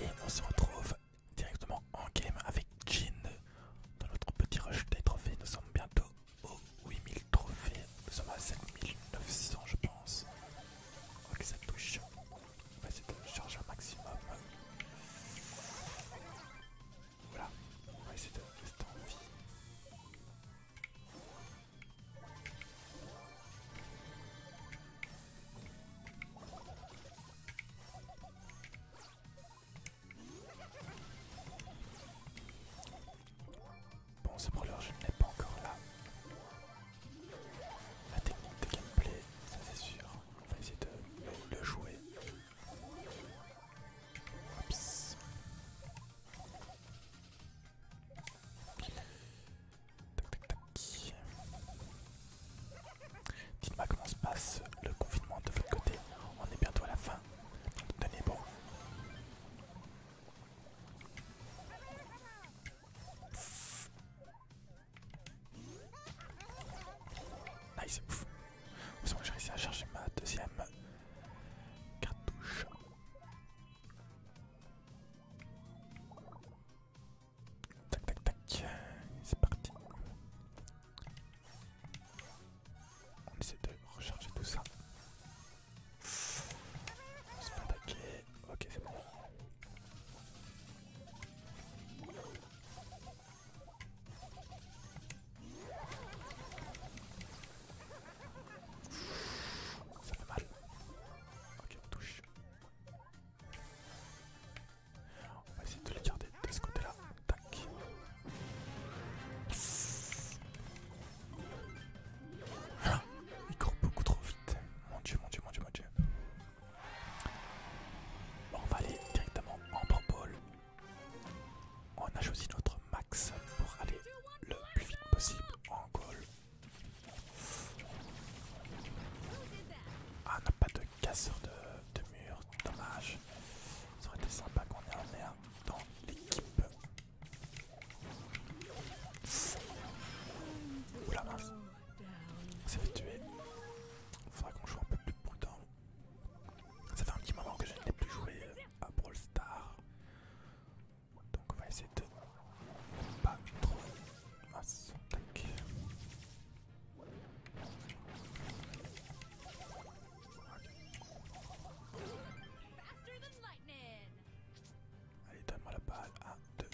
Et on se retrouve directement en game avec Jin dans notre petit rush des trophées. Nous sommes bientôt aux 8000 trophées. Nous sommes à 7900 je pense. Ok ça touche. On va essayer de charger un maximum. Voilà. On va essayer de rester en vie. Bon, ce brûleur je ne l'ai pas encore là. La technique de gameplay, ça c'est sûr. On va essayer de le jouer. Oups. Tac, Dites-moi comment se passe le confinement de votre côté. On est bientôt à la fin. Tenez bon. Nice, ouf. j'ai réussi à charger ma deuxième cartouche. Tac tac tac, c'est parti. On essaie de recharger tout ça. On se fait attaquer. Ok, c'est bon. Ça fait mal. Ok, touche. On va essayer de les garder de ce côté-là. Tac. Ah, il court beaucoup trop vite. Mon dieu, mon dieu, mon dieu, mon dieu. on va aller directement en purple. On a choisi notre max pour aller le plus vite possible en goal. Ah, on n'a pas de casseur de, mur, dommage. Ça aurait été sympa qu'on ait un air dans l'équipe. Oula mince, on s'est fait tuer. Faudra qu'on joue un peu plus prudent. Ça fait un petit moment que je n'ai plus joué à Brawl Stars. Donc on va essayer de pas trop Tac. Allez, donne-moi la balle. 1, 2.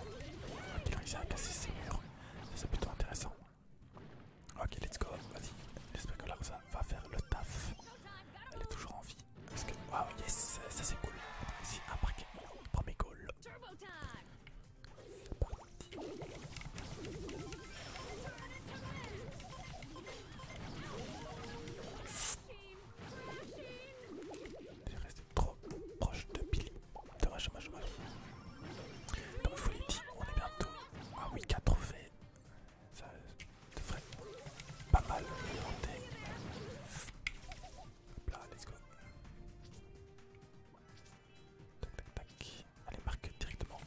Ok, il réussi à casser ses murs. C'est plutôt intéressant. Ok, let's go. Vas-y, j'espère que là, ça va faire le taf. Elle est toujours en vie. Parce que, yes, ça c'est cool. vas un Premier goal. J'ai resté trop proche de Billy. Donc, on est bientôt à ah ça devrait pas mal monter. Hop là, let's go. Tac tac tac. Allez, marque directement.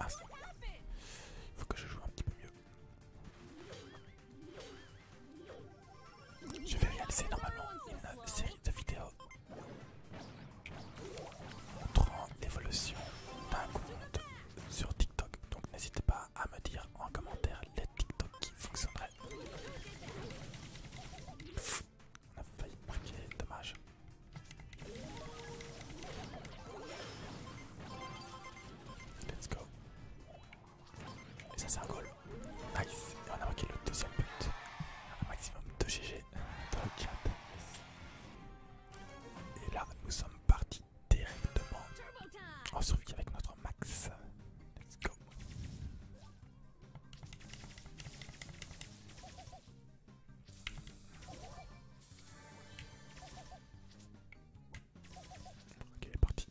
Ah, il faut que je joue un petit peu mieux. Je vais réaliser normalement une série de vidéos Montrant l'évolution d'un compte sur TikTok. Donc n'hésitez pas à me dire en commentaire les TikTok qui fonctionneraient. on a failli marquer, dommage. Let's go. Et ça c'est un goal. Nice, on a marqué le deuxième but. Un maximum de GG dans le Et là, nous sommes partis directement en survie avec notre max. Let's go. Ok, il est parti.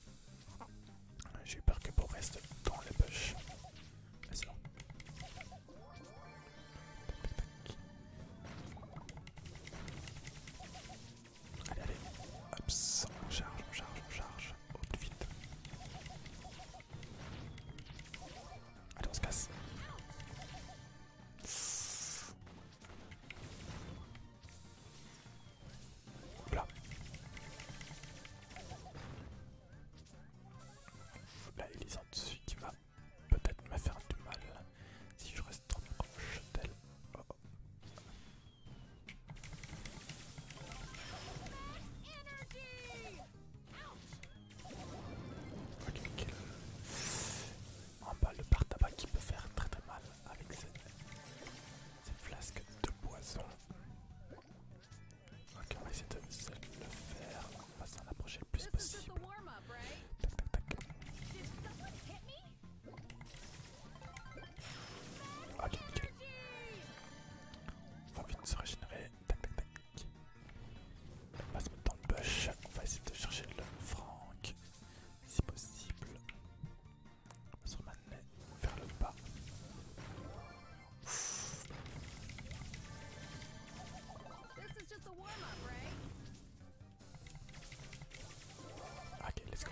J'ai eu peur que bon reste dans le bush Allez, allez. Hop, on charge, on charge, on charge. Au vite. Allez, on se casse. Là, il est dessus qui va peut-être me faire du mal si je reste trop proche d'elle. Oh, oh. Ok, En bas, le par tabac qui peut faire très très mal avec cette flasques de poison. Ok, on va essayer de le faire. On va s'en approcher le plus possible. Tac, Ok, On va vite se régénérer. On va se mettre dans le bush. On va essayer de chercher le Franck si possible. On va se ramener vers le bas. Ok, let's go.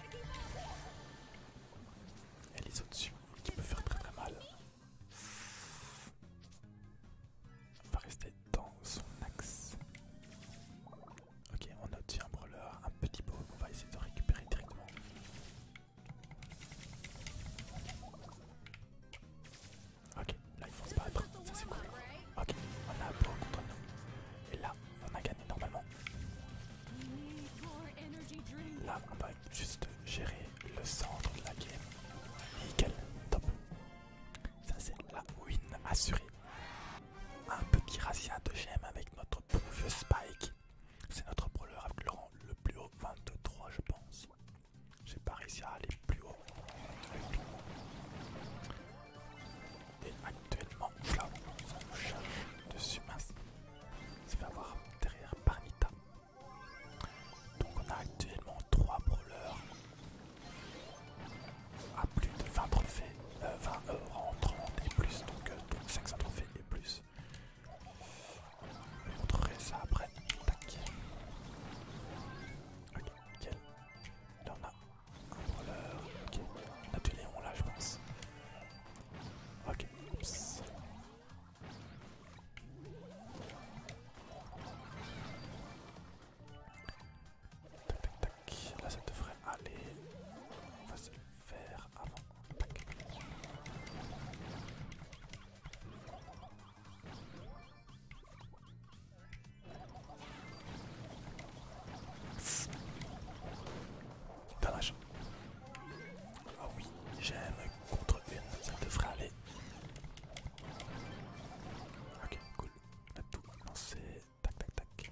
Elle est au-dessus, qui peut faire très très mal. On va rester dans son axe. Ok, on a dessus un brawler, un petit peu, on va essayer de récupérer directement. Ok, là ils faut se battre, ça c'est cool. Ok, on a Beau contre nous. Et là, on a gagné normalement. Là, on va juste gérer le centre de la game. Nickel, top. Ça c'est la win assurée. Un petit razzia de gemme avec notre bon vieux Spike. C'est notre brawler avec le, le plus haut, 23 je pense. J'ai pas ici à aller plus haut. Et actuellement, là, on charge de Sumas. ça fait avoir derrière Parnita. Donc on a actuellement 3 brawlers à plus de 20 trophées, 20 euros 30 et plus, donc, euh, donc 500 trophées et plus. Je vous montrerai ça après. Tac. Ok, nickel. Là on a un brawler. Ok, on a là je pense. Ok, Oups. Tac tac tac, là ça devrait aller. On va se faire avant Dommage. Ah oui, j'aime contre une, ça te fera aller. Ok, cool. On a tout lancé. Tac, tac, tac.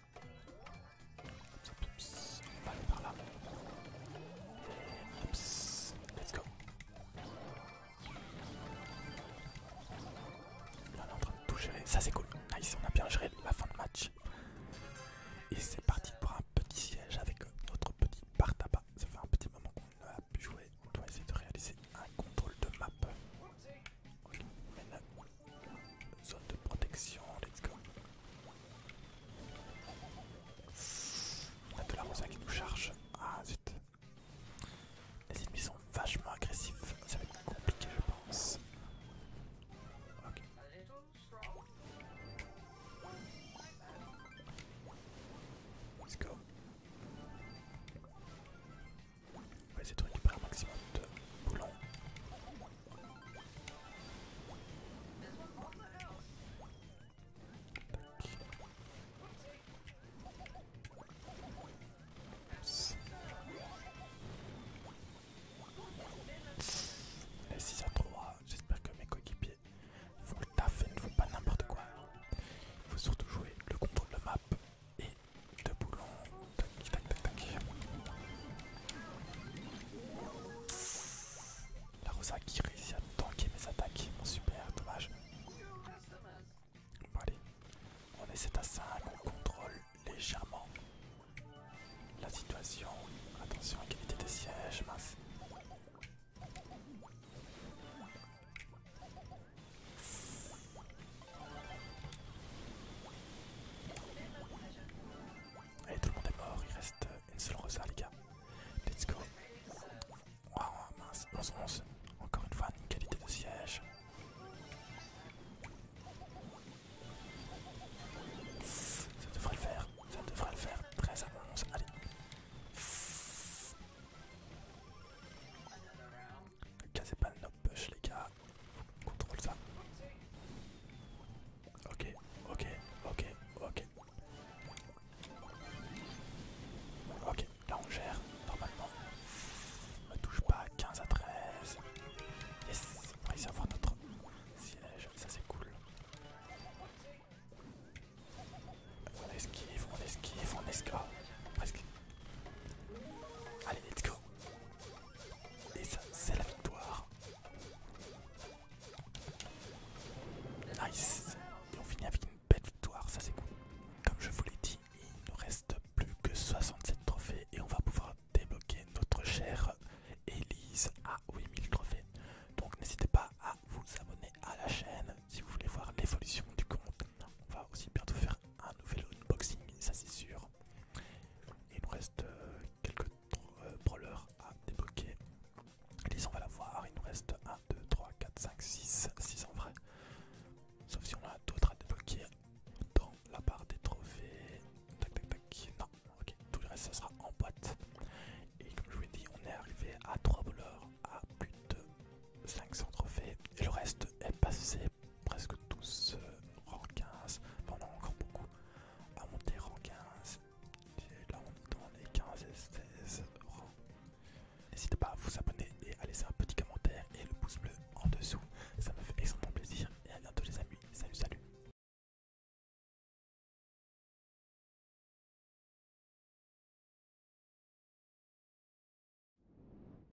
on va aller par là. oups, let's go. Là, on est en train de tout gérer, ça c'est cool. Ici on a bien géré la fin de match. Et c'est parti pour un petit siège avec notre petit bar tabac. Ça fait un petit moment qu'on a pu jouer. On doit essayer de réaliser un contrôle de map. Zone de protection, let's go. On a de la qui nous charge. Ah zut. Les ennemis sont vachement agressifs. Ça va être compliqué je pense. Ok. Let's go. On va essayer un maximum de boulons. Les 6 à 3, j'espère que mes coéquipiers font le taf et ne font pas n'importe quoi. Il faut surtout jouer le contrôle de la map et deux boulons. Tac, tac, tac, La Rosa qui réussit à tanker mes attaques. mon super, dommage. Bon, allez, on est 7 à 5, on contrôle légèrement la situation. Attention, qualité des sièges, mince. Allez, tout le monde est mort, il reste une seule rosa, les gars. Let's go. Wow mince, 11-11. Encore une fois, une qualité de siège. Ça devrait le faire, ça devrait le faire. 13 à 11, allez. Ne cassez pas le push les gars. Contrôle ça. Ok, ok, ok, ok. Ok, là on gère normalement. On touche pas 15 à 13. Yes, on va essayer d'avoir notre siège, ça c'est cool. On esquive, on esquive, on esquive. Ah, Allez, let's go. Et ça, c'est la victoire. Nice. Et on finit avec une belle victoire, ça c'est cool. Comme je vous l'ai dit, il nous reste plus que 67 trophées et on va pouvoir débloquer notre chère Elise à 8000 trophées. Donc n'hésitez pas à vous abonner à la chaîne si vous voulez voir l'évolution du compte. On va aussi bientôt faire un nouvel unboxing, ça c'est sûr. il nous reste euh, quelques euh, à débloquer. Lise, on va la voir, il nous reste 1, 2, 3, 4, 5, 6, 6 en vrai. Sauf si on a d'autres à débloquer dans la barre des trophées. Tac tac tac. Non, ok, tout le reste ça sera en boîte. Et comme je vous ai dit, on est arrivé à 3 brawlers à plus de 500 trophées. Et le reste est passé presque tous rang 15, pendant encore beaucoup à monter rang 15, et là on est dans les 15 et 16 rangs. N'hésitez pas à vous abonner et à laisser un petit commentaire et le pouce bleu en dessous, ça me fait extrêmement plaisir et à bientôt les amis, salut salut